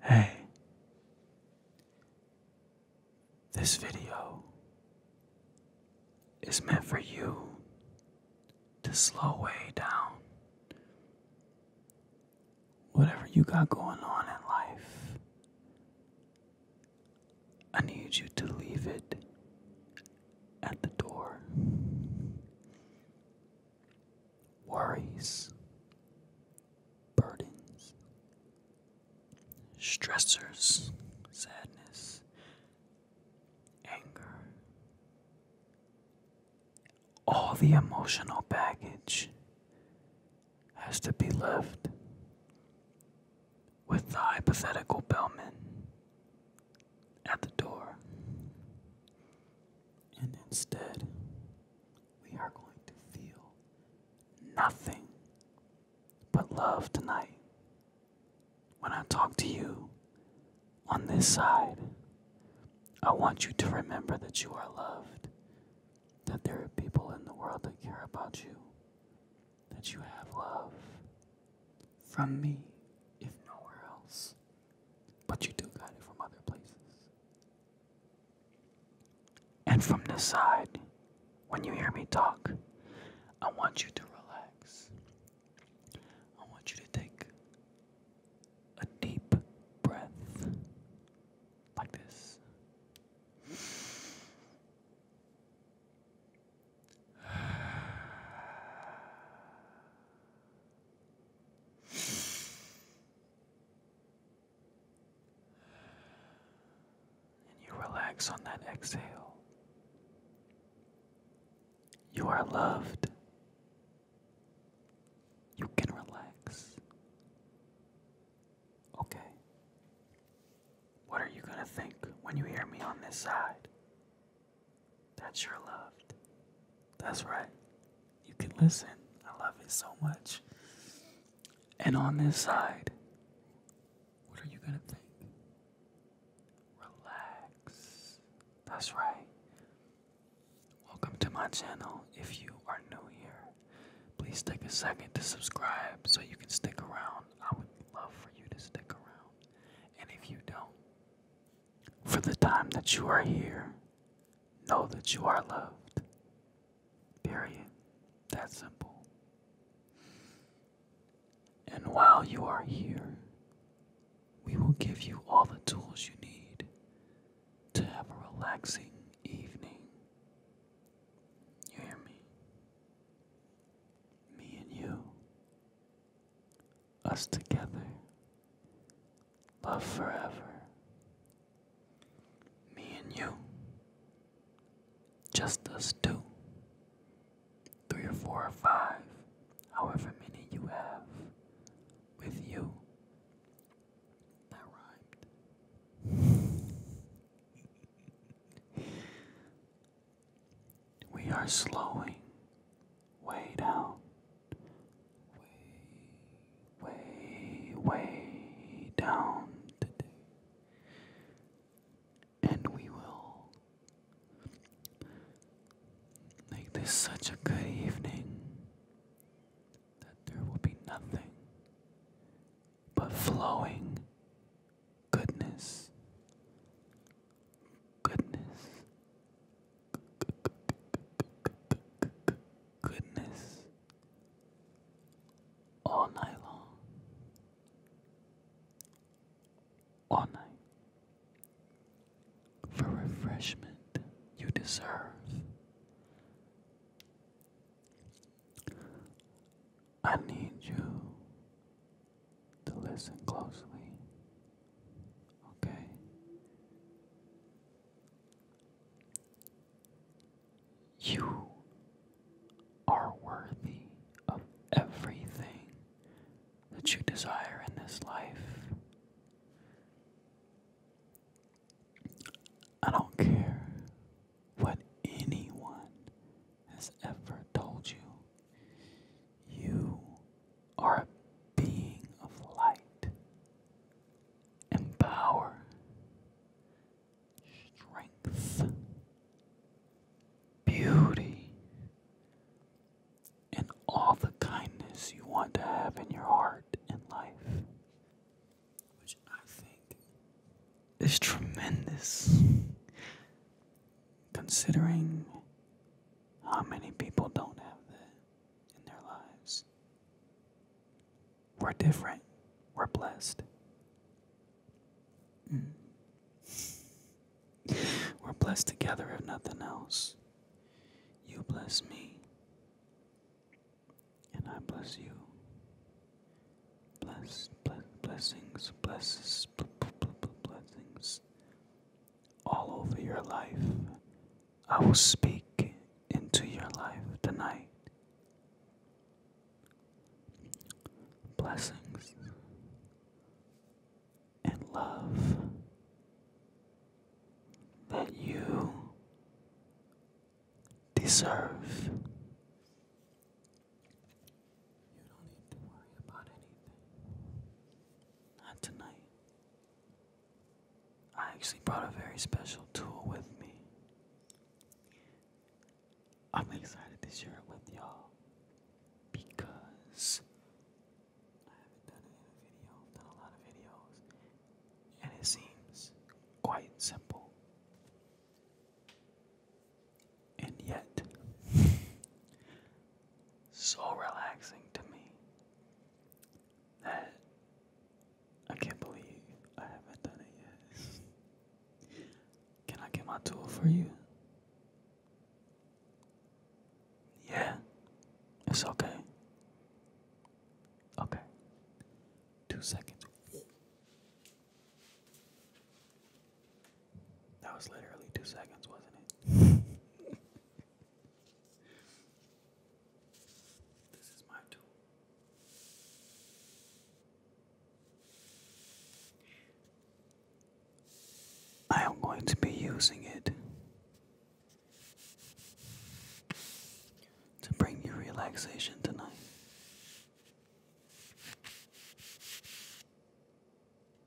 Hey, this video is meant for you to slow way down whatever you got going on in life. I need you to leave it at the door worries, burdens, stressors, sadness, anger, all the emotional baggage has to be left with the hypothetical bellman at the door. And instead, we are going to feel nothing but love tonight. When I talk to you on this side, I want you to remember that you are loved, that there are people in the world that care about you, that you have love from me, if nowhere else. But you do get it from other places. And from this side, when you hear me talk, I want you to relax. I want you to take a deep breath like this. And you relax on that exhale. You are loved. You can relax. Okay. What are you going to think when you hear me on this side? That's your love. That's right. You can listen. I love it so much. And on this side, what are you going to think? Relax. That's right. Welcome to my channel. If you are new here, please take a second to subscribe so you can stick around. I would love for you to stick around. And if you don't, for the time that you are here, know that you are loved. Period. That simple. And while you are here, we will give you all the tools you need to have a relaxing evening. You hear me? Me and you us together. Love forever. Me and you. Just us two. Three or four or five, however many you have. With you. That rhymed. we are slowing way down, way, way, way down today. And we will make this such a good evening that there will be nothing but flowing goodness, goodness, goodness, all night long, all night. For refreshment you deserve. I need you to listen closely you are worthy of everything that you desire in this life. I don't care what anyone has ever told you. You are a being of light and power, strength, beauty, and all the kindness you want to have in your heart and life, which I think is tremendous considering how many people don't have that in their lives. We're different. We're blessed. Mm. We're blessed together, if nothing else. You bless me, and I bless you. Bless, bless blessings, blesses, blessings, all over your life. I will speak into your life tonight. Blessings and love that you deserve. Not tonight. I actually brought a very special tool with me. I'm excited to share it with y'all because I haven't done it in a done a lot of videos, and it seems quite simple. And yet, so relaxing to me that I can't believe I haven't done it yet. Can I get my tool for you? Yeah, it's okay. Okay, two seconds. That was literally two seconds, wasn't it? This is my tool. I am going to be using it to bring you relaxation tonight.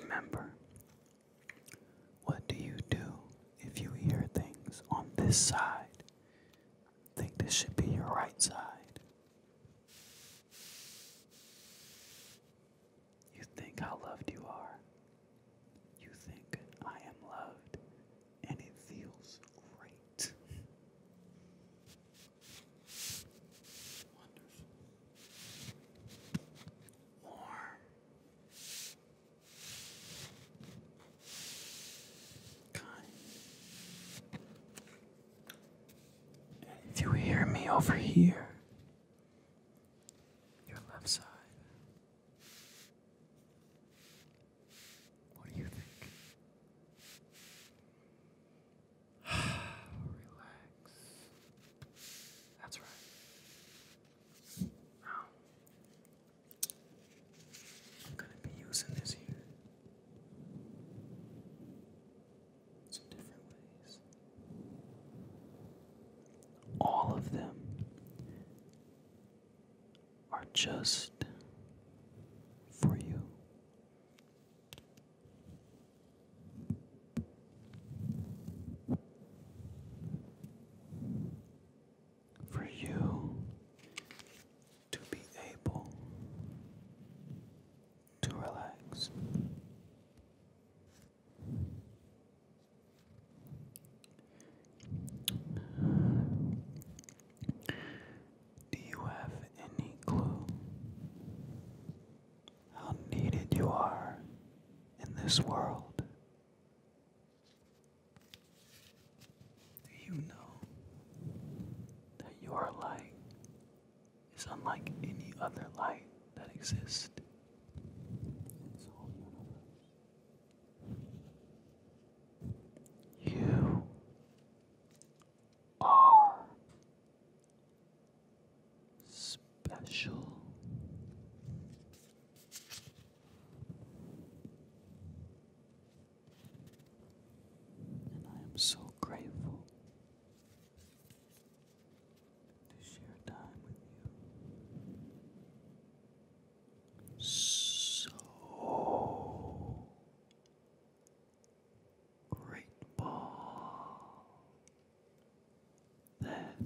Remember, what do you do if you hear things on this side? Think this should be your right side. You think how loved you are. You think I am loved, and it feels great. Wonderful. Warm. Kind. And you hear me over here, your left side. What do you think? Relax. That's right. I'm gonna be using this here some different ways. All of them are just for you for you to be able to relax. Do you have any clue how needed you are in this world. Do you know that your light is unlike any other light that exists You are special. And I am so grateful to share time with you. So great that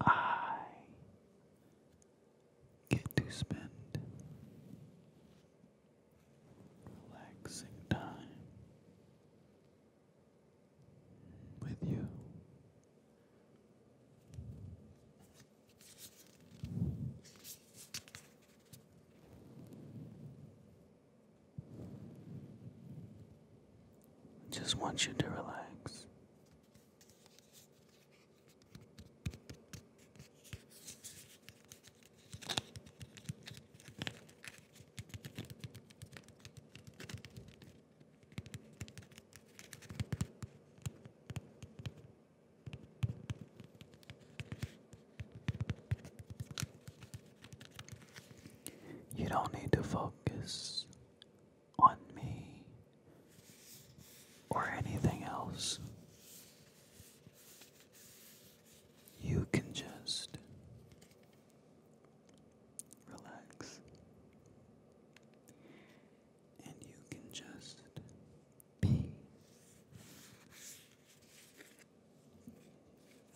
I get to spend relaxing time with you. I just want you to relax. You don't need to focus on me or anything else. You can just relax and you can just be.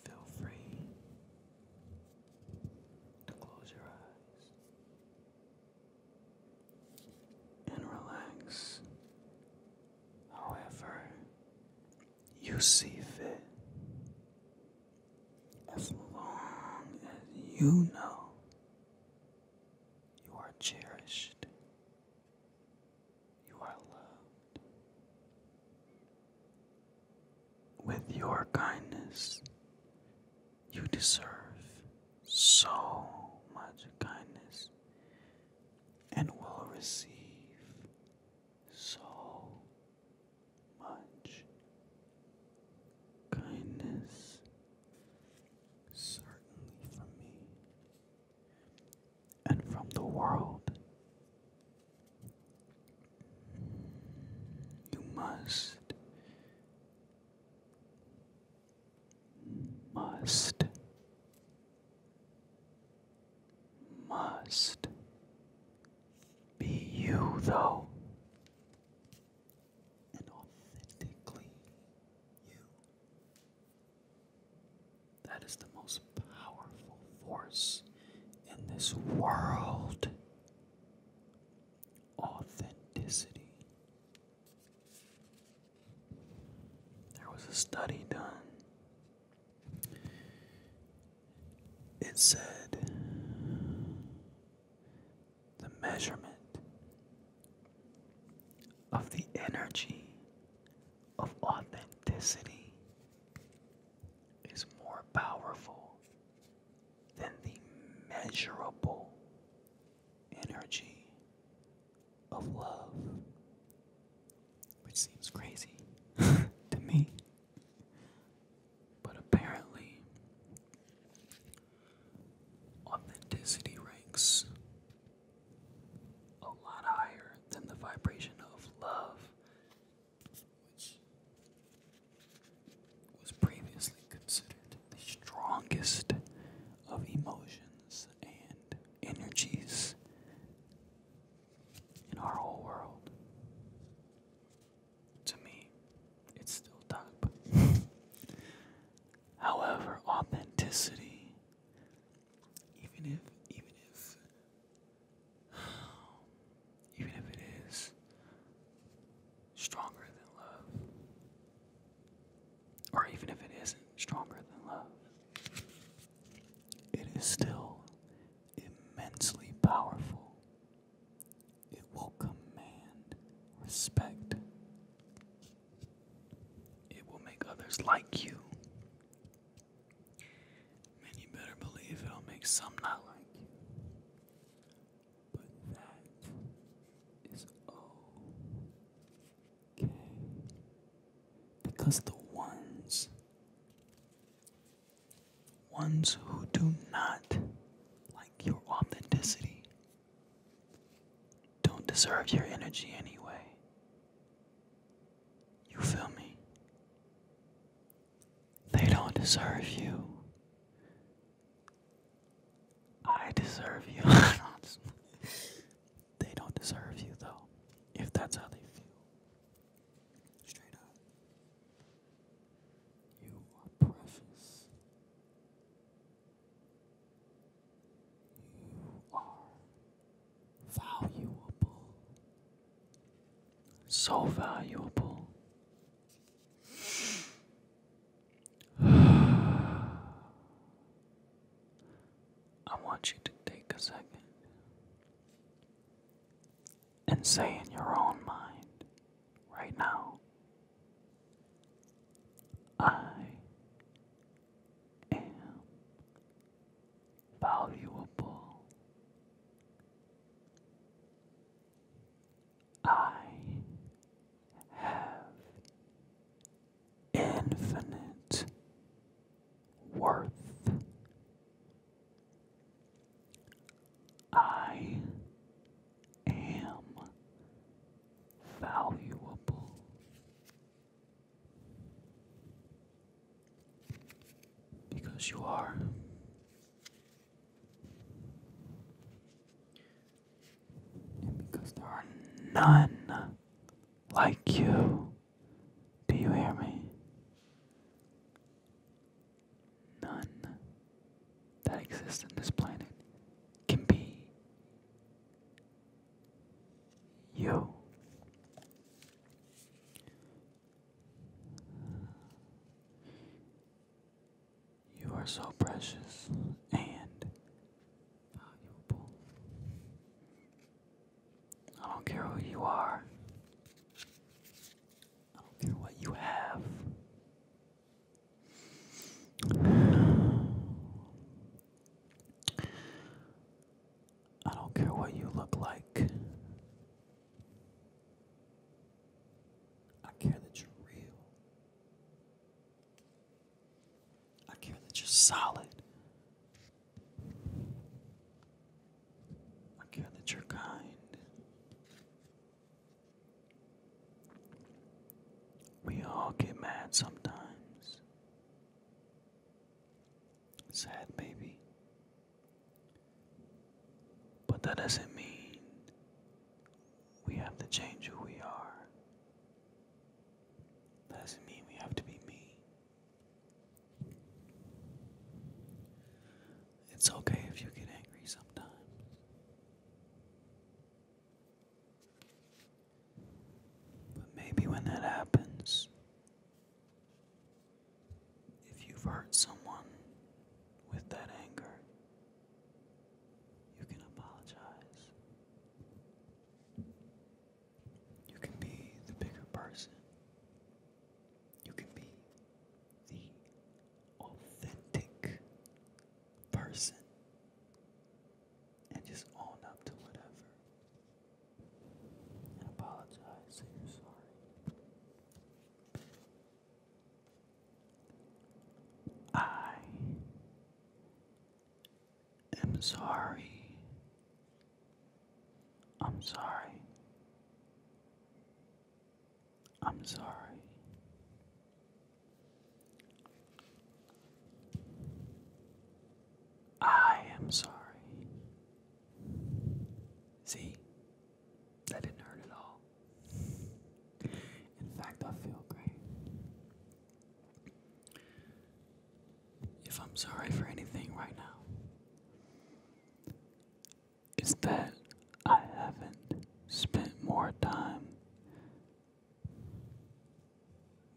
Feel free to close your eyes and relax however you see fit. As long as you know you are cherished you are loved. With your kindness, you deserve so much kindness and will receive so much kindness, certainly from me and from the world. You must, must, must be you, though, and authentically you. That is the most powerful force in this world. Authenticity. There was a study done. It said the measurement of the energy of authenticity is more powerful than the measurable energy of love, which seems crazy to me. But apparently, authenticity ranks a lot higher than the vibration of love which was previously considered the strongest of emotions and energies in our whole world. To me, it's still top. However, authenticity, even if even if even if it is stronger than love, or even if it isn't stronger than love, it is still immensely powerful. It will command respect. It will make others like you. Man, you better believe it'll make some not like you. But that is okay. Because the ones, ones who do not like your authenticity, don't deserve your energy anyway. You feel me? They don't deserve you. I deserve you. they don't deserve you, though, if that's how they feel. Straight up. You are precious. You are Valuable. So valuable. I want you to take a second and say in your own mind right now I am valuable. I have infinite worth. I am valuable. Because you are. And because there are none like you. Do you hear me? None that exists in this planet can be you. You are so precious and valuable. I don't care who you are. I don't care what you have. I don't care what you look like. I care that you're real. I care that you're solid. I care that you're kind. We all get mad sometimes. Sad, maybe. But that doesn't mean we have to change who we are. doesn't mean we have to be me. It's okay if you get angry sometimes. But maybe when that happens, if you've hurt someone with that anger, you can apologize. You can be the bigger person. You can be the authentic person and just own up to whatever apologize, say you're sorry. I am sorry. I'm sorry. I'm sorry. I am sorry. See, that didn't hurt at all. In fact, I feel great. If I'm sorry for anything right now, it's that I haven't spent more time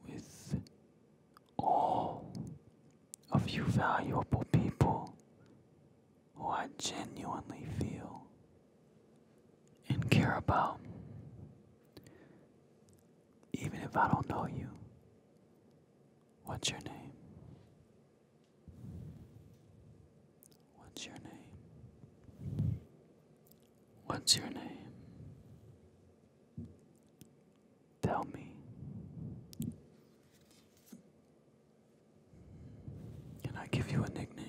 with all of you valuable people who I genuinely feel and care about, even if I don't know you. What's your name? What's your name? What's your name? Tell me. Can I give you a nickname?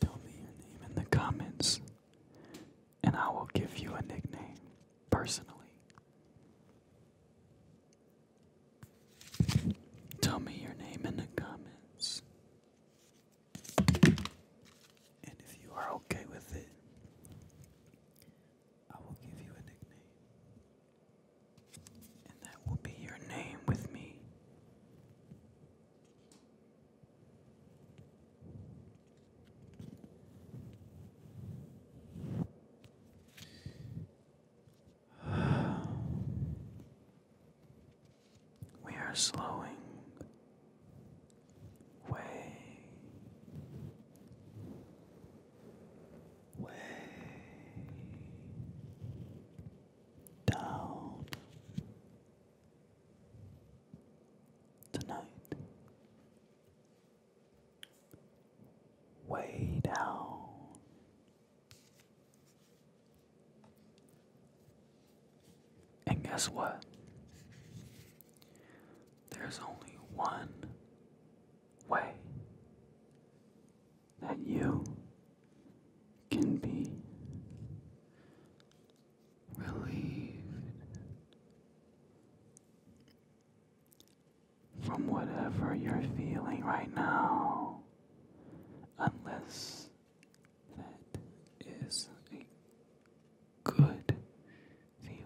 Tell me your name in the comments, and I will give you a nickname personally. Tell me your name in the comments. And if you are okay with it, I will give you a nickname. And that will be your name with me. We are slowing way, way down tonight, way down. And guess what? There's only one way that you can be relieved from whatever you're feeling right now, unless that is good feeling.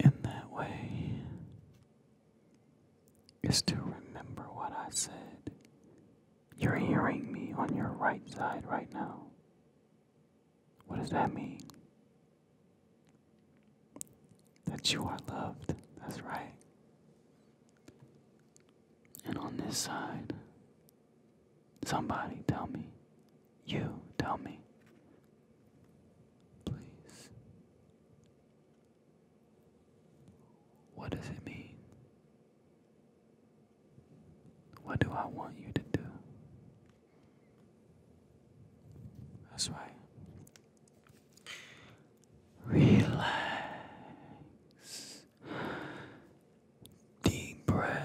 In that way is to remember what I said. You're hearing me on your right side right now. What does that mean? That you are loved. That's right. And on this side, Somebody tell me. You tell me. Please. What does it mean? What do I want you to do? That's right. Relax. Deep breath.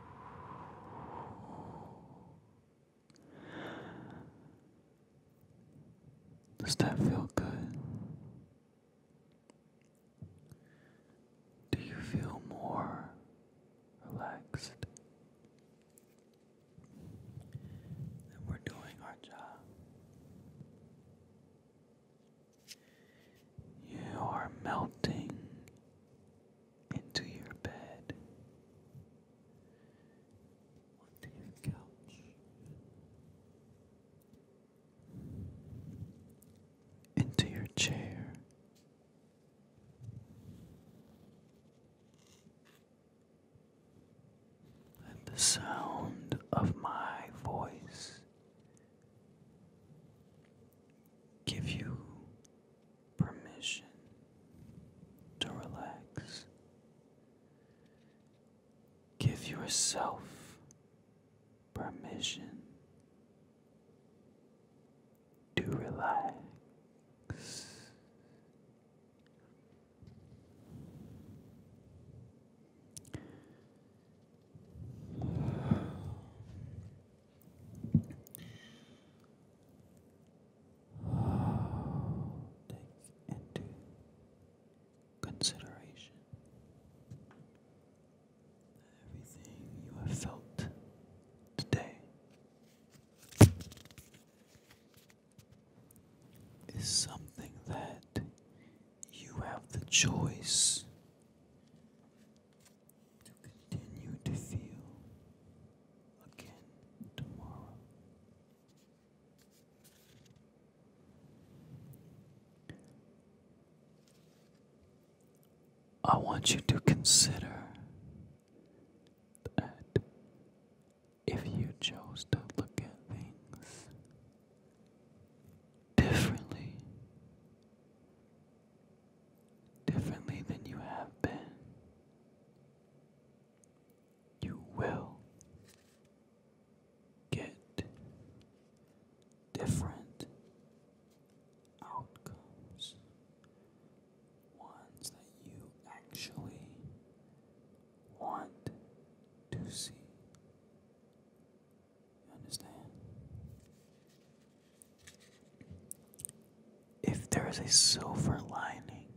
Does that feel good? Do you feel more relaxed? we're doing our job. You are melting into your bed, onto your couch, into your chair. Let the sound of my voice give you permission to relax. Give yourself permission to relax take into consideration everything you have felt today is something that you have the choice to continue to feel again tomorrow. I want you to consider that if you chose to look at things differently, differently than you have been. You will get different outcomes, ones that you actually want to see. understand? If there is a silver lining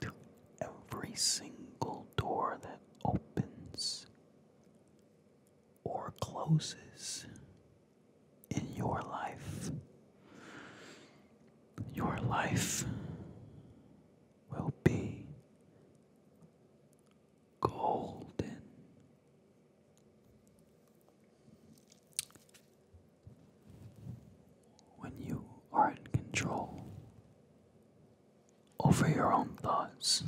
to every single door that opens or closes in your life, your life will be golden. When you are in control over your own thoughts,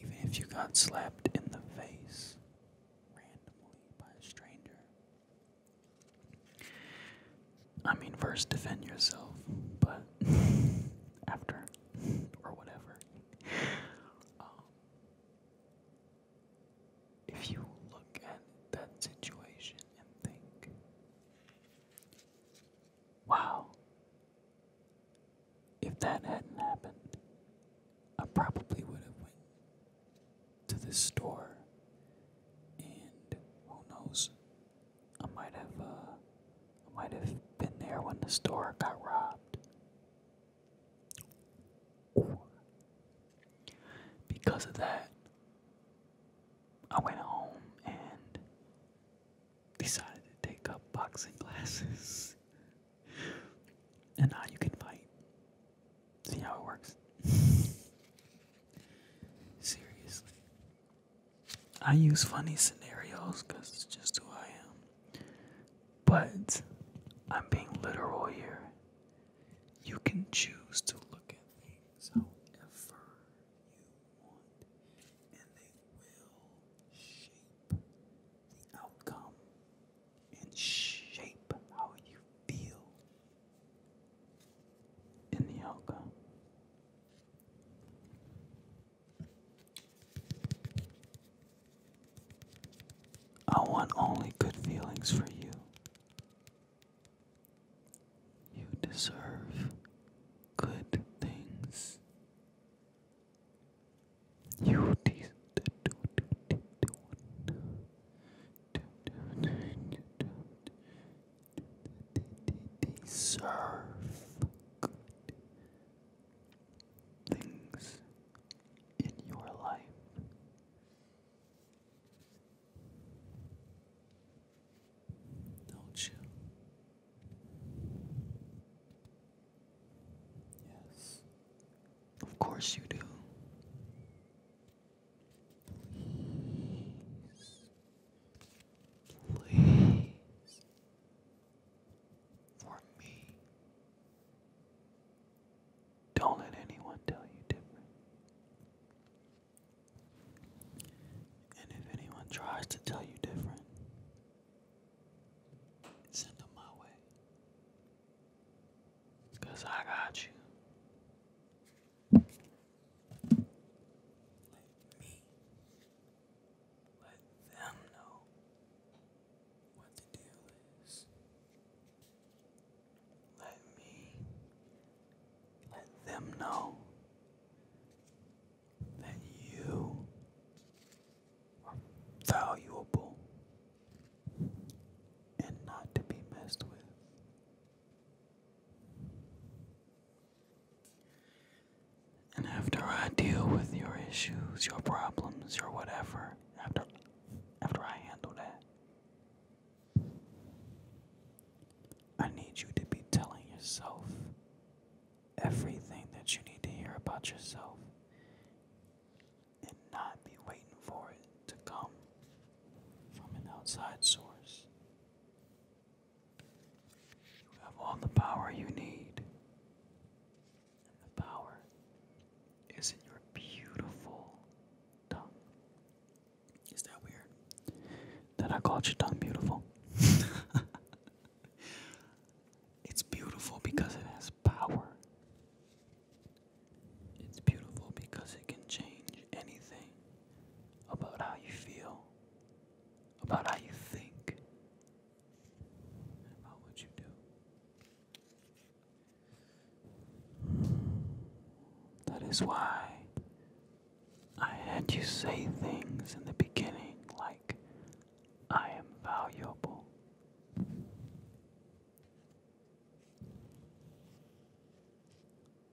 even if you got slapped in the face randomly by a stranger, I mean, first defend yourself, but after, or whatever if you look at that situation and think, wow, if that hadn't happened, I probably would have went to this store and who knows, I might have uh, I might have been there when the store got robbed. because of that, I went home and decided to take up boxing classes. and now you can fight. See how it works? Seriously. I use funny scenarios because it's just who I am. But I'm being literal here. You can choose to look at things however you want, and they will shape the outcome and shape how you feel in the outcome. I want only good feelings for you. You deserve good things. You deserve things in your life. Don't you? Yes. Of course you do. Please for me. Don't let anyone tell you different. And if anyone tries to tell you different, send them my way. I got you. Let them know what the deal is. Let me let them know that you are valuable and not to be messed with. And after I deal with your issues, your problems, your whatever, after after I handle that, I need you to be telling yourself everything that you need to hear about yourself and not be waiting for it to come from an outside source. You have all the power you need the power is in your beautiful tongue. Is that weird? That I called your tongue beautiful. it's beautiful because it has power. It's beautiful because it can change anything about how you feel, about how you think, how would you do? That is why I had you say things in the beginning like, I am valuable.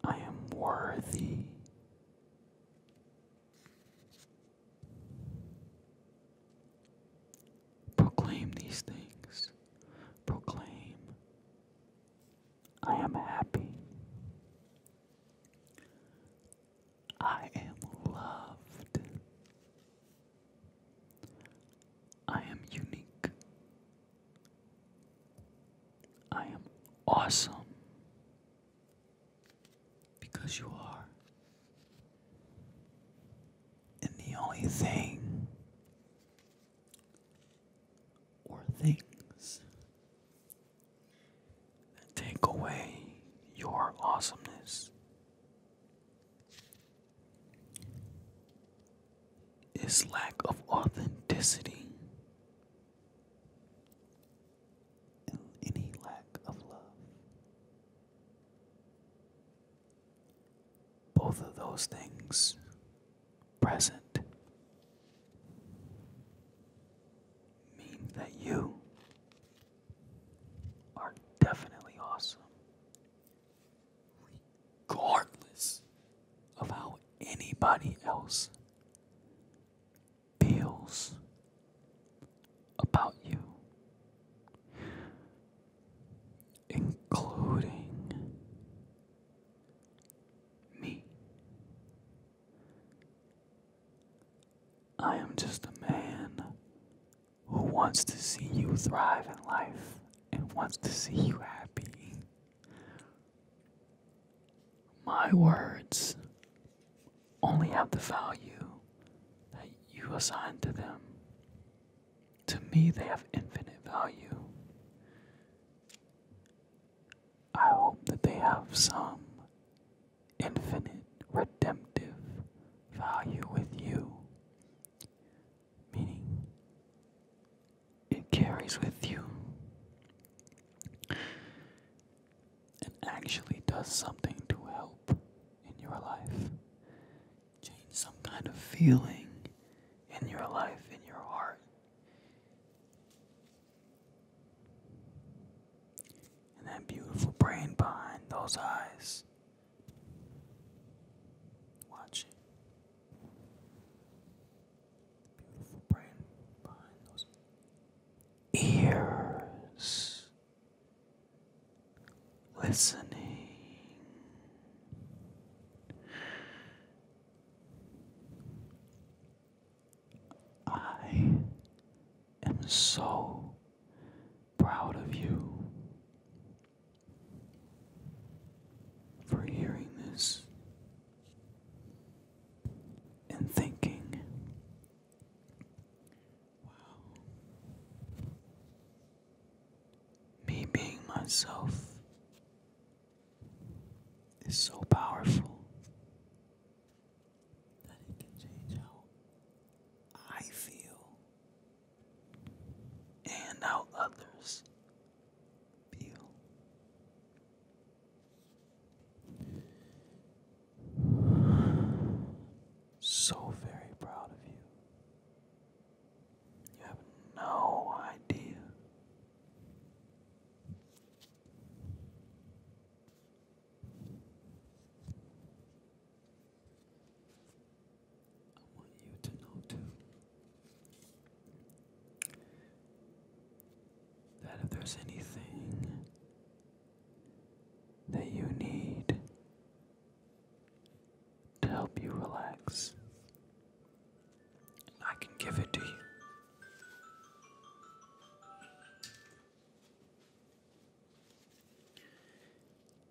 I am worthy. Proclaim these things. Proclaim, I am happy. I am loved. I am unique. I am awesome. Because you are. And the only thing or things that take away your awesomeness is lack of authenticity any lack of love. Both of those things present means that you are definitely awesome, regardless of how anybody else feels about you, including me. I am just a man who wants to see you thrive in life and wants to see you happy. My words only have the value that you assign to them. To me, they have infinite value. I hope that they have some infinite redemptive value with you, meaning it carries with you and actually does something to help in your life. Change some kind of feeling in your life, in your heart. And that beautiful brain behind those eyes. Watch beautiful brain behind those ears listening, I am so proud of you for hearing this and thinking Wow. Me being myself is so powerful that it can change how I feel and how others feel. So very proud of you. You have no idea. I want you to know too that if there's anything that you need to help you relax. I can give it to you.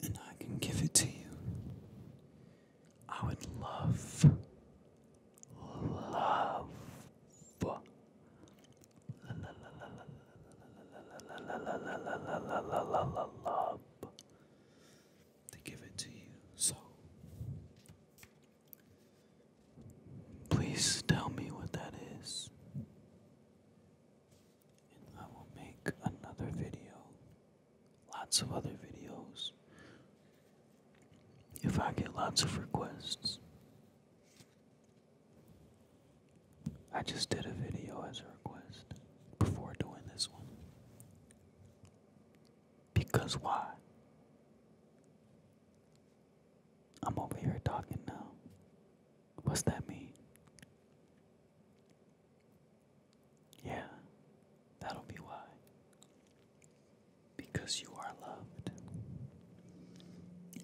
And I can give it to you. I would love, love to give it to you. So please tell me what that is. And I will make another video, lots of other videos, if I get lots of requests. I just did a video as a request before doing this one. Because why? I'm over here talking now. What's that mean? Yeah, that'll be why. Because you are loved.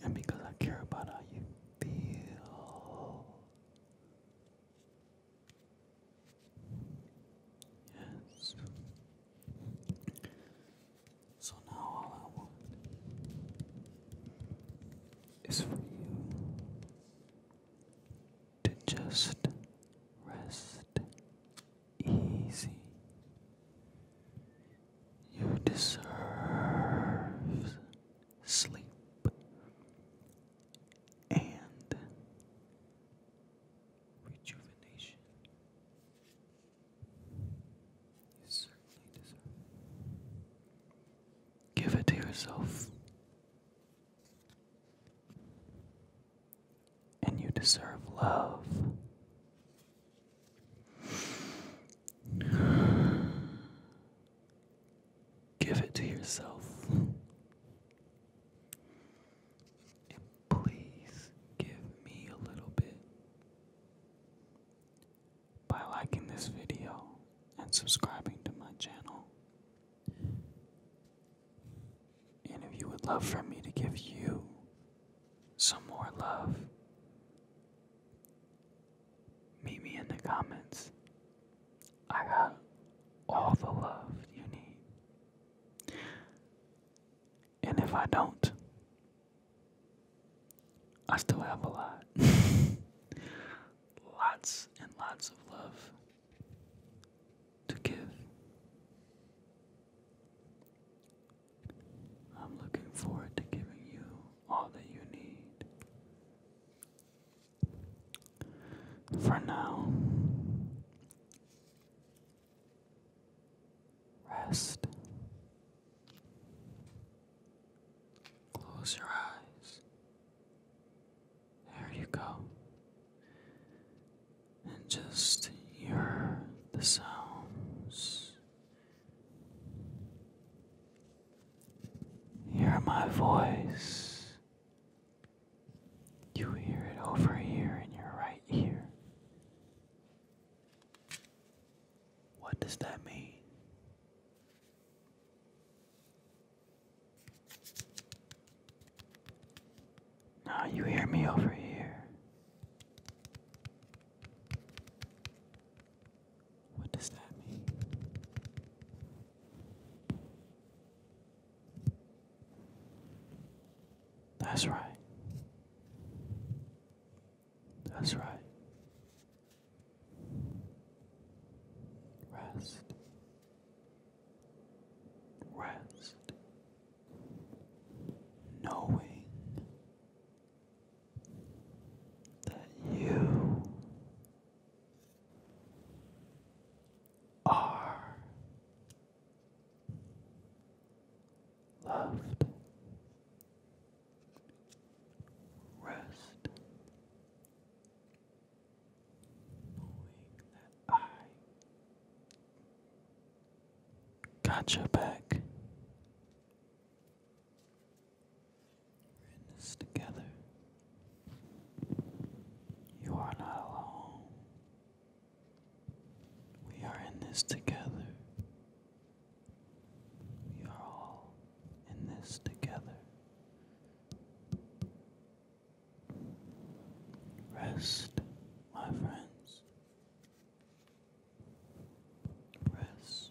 And because I care about you feel yes so now all I want is for you to just rest easy you deserve sleep and rejuvenation. You certainly deserve Give it to yourself. And you deserve love. Give it to yourself. And please give me a little bit by liking this video and subscribing to my channel. And if you would love for me to give you some more love, Meet me in the comments. I got all the love you need. And if I don't, I still have a lot. lots and lots of love to give. I'm looking forward to giving you all that you need. For now, rest. Close your eyes. There you go. And just hear the sounds Hear my voice. You hear it over here and you're right here. What does that mean? Now you hear me over here. What does that mean? That's right. That's right. Rest. Rest. Knowing that you are loved. Rest, knowing that I got your back. We're in this together. You are not alone. We are in this together. We are all in this together. Rest, my friends. Rest.